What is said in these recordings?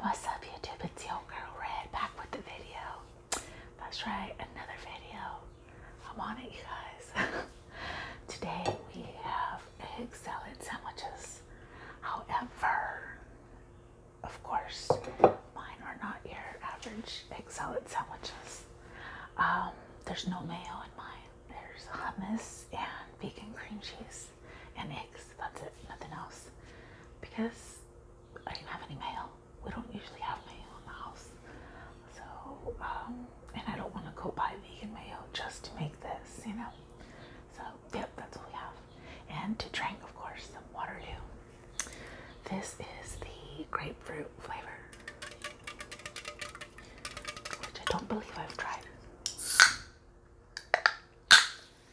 What's up YouTube? It's your girl Red back with the video. That's right, another video. I'm on it you guys. Today we have egg salad sandwiches. However, of course, mine are not your average egg salad sandwiches. Um, there's no mayo in mine. There's hummus and vegan cream cheese and eggs. That's it, nothing else. Because I do not have any mail. We don't usually have mail in the house. So, um, and I don't want to go buy vegan mayo just to make this, you know. So, yep, that's all we have. And to drink, of course, some Waterloo. This is the grapefruit flavor, which I don't believe I've tried.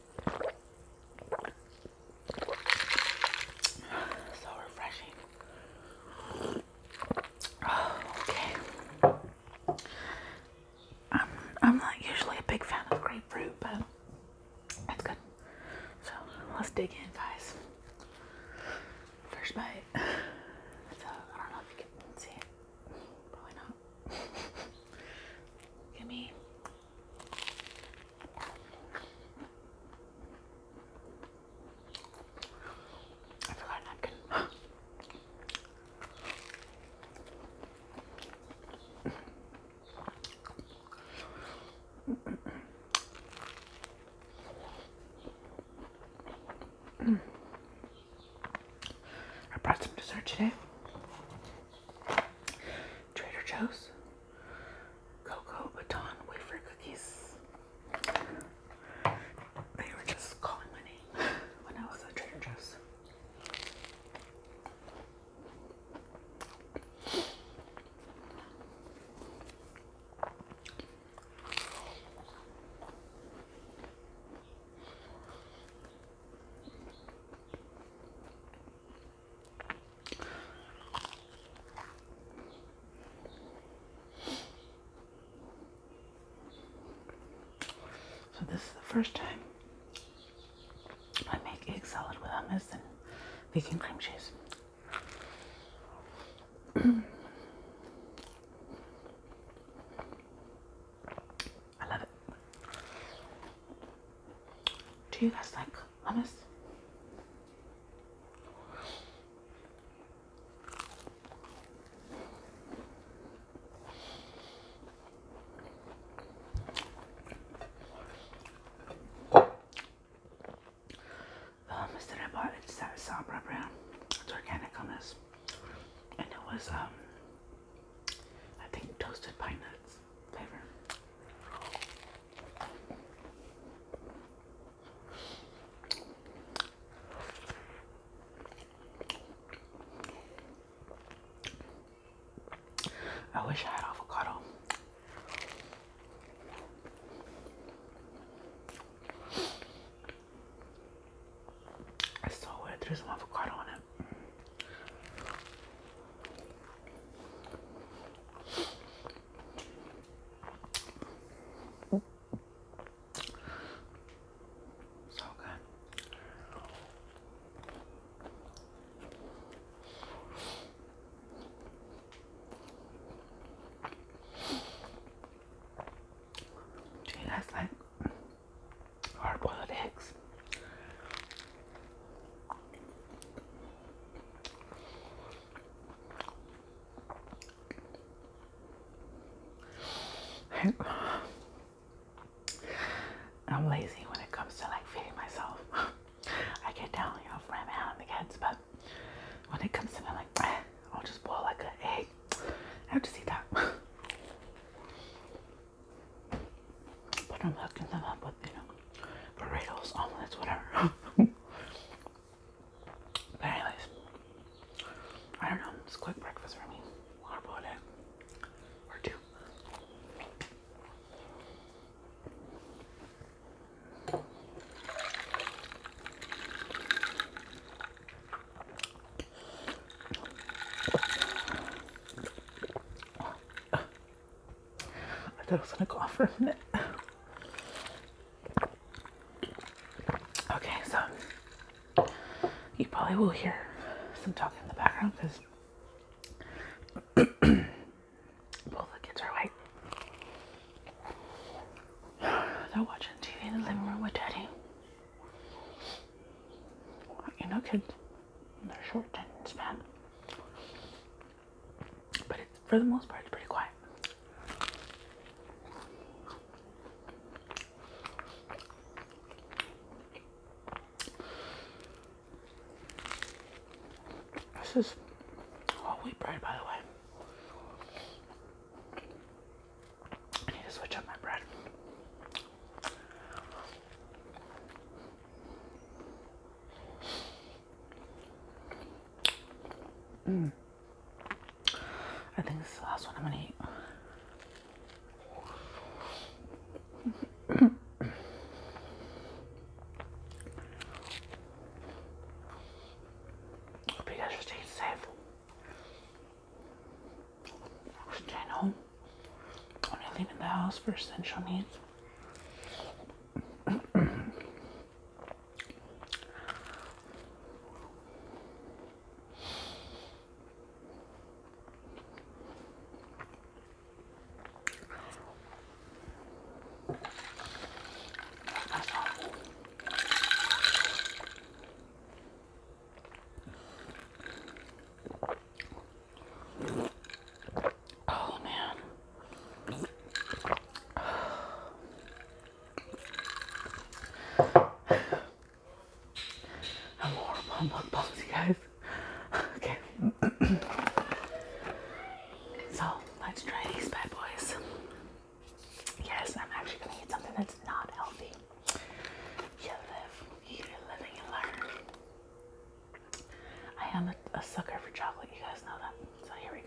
So refreshing. okay. I'm I'm not usually a big fan of grapefruit, but it's good. So let's dig in, guys. First bite. So I don't know if you can see it. Probably not. Give me I forgot napkin. I brought some dessert today. Trader Joe's cocoa baton wafer cookies. They were just calling my name when I was at Trader Joe's. So this is the first time I make egg salad with hummus and vegan cream cheese. I love it. Do you guys like hummus? The hummus I bought is that Sabra brand. It's organic hummus. And it was um I think toasted pine nuts flavor. I wish I had avocado. I saw weird, there's an avocado on it. So good. Do you guys like hard boiled eggs. I'm lazy when it comes to like feeding myself. I get down, you for my man and the kids, but when it comes to like, I'll just boil like an egg. I'll just eat that. But I'm hooking them up with, you know, burritos, omelets, whatever. but anyways, I don't know. It's a quick breakfast for me. or two. I thought I was gonna go off for a minute. Okay, so you probably will hear some talking in the background because both the kids are awake. They're watching TV in the living room with Daddy. You know, kids. They're short attention span. But it's, for the most part, it's pretty quiet. This is whole wheat bread, by the way. I need to switch up my bread. Mm. I think this is the last one I'm gonna eat. Hope you guys are safe. Staying home. I'm leaving the house for essential needs. Oh man. I'm horrible on mukbangs, guys. Okay. so let's try these bad boys. Yes, I'm actually gonna eat something that's not healthy. You live, you live, and learn. I am a, sucker for chocolate. You guys know that. So here we go.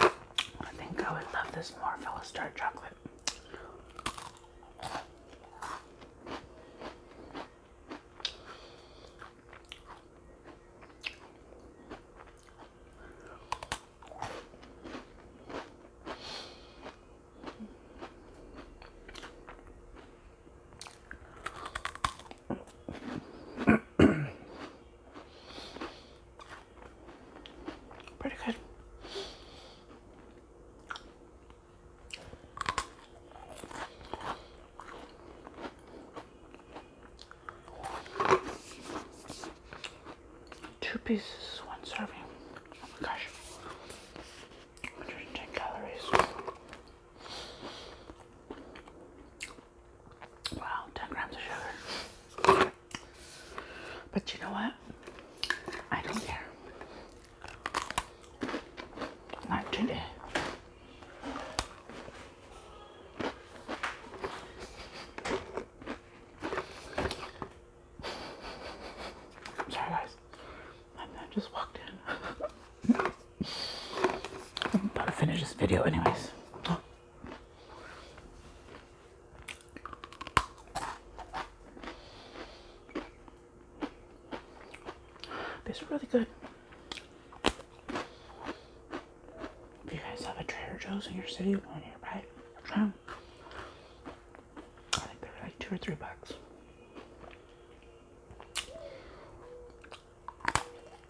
I think I would love this more if I was dark chocolate. Pretty good. Two pieces, one serving. Oh my gosh. 110 calories. Wow, 10 grams of sugar. But you know what? I don't care. Not today. Sorry guys, I just walked in. I'm about to finish this video anyways. These are really good. If you guys have a Trader Joe's in your city or nearby, try I think they're like two or three bucks.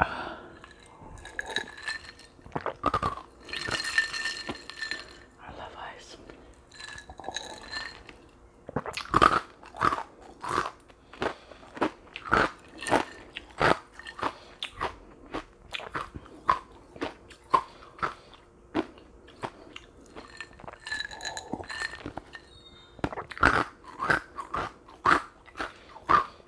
I love ice.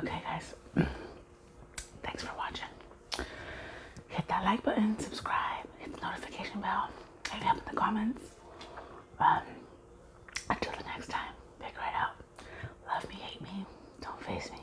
Okay, guys. Thanks for watching. Hit that like button, subscribe, hit the notification bell, hit up in the comments. Um, until the next time, big right out. Love me, hate me, don't face me.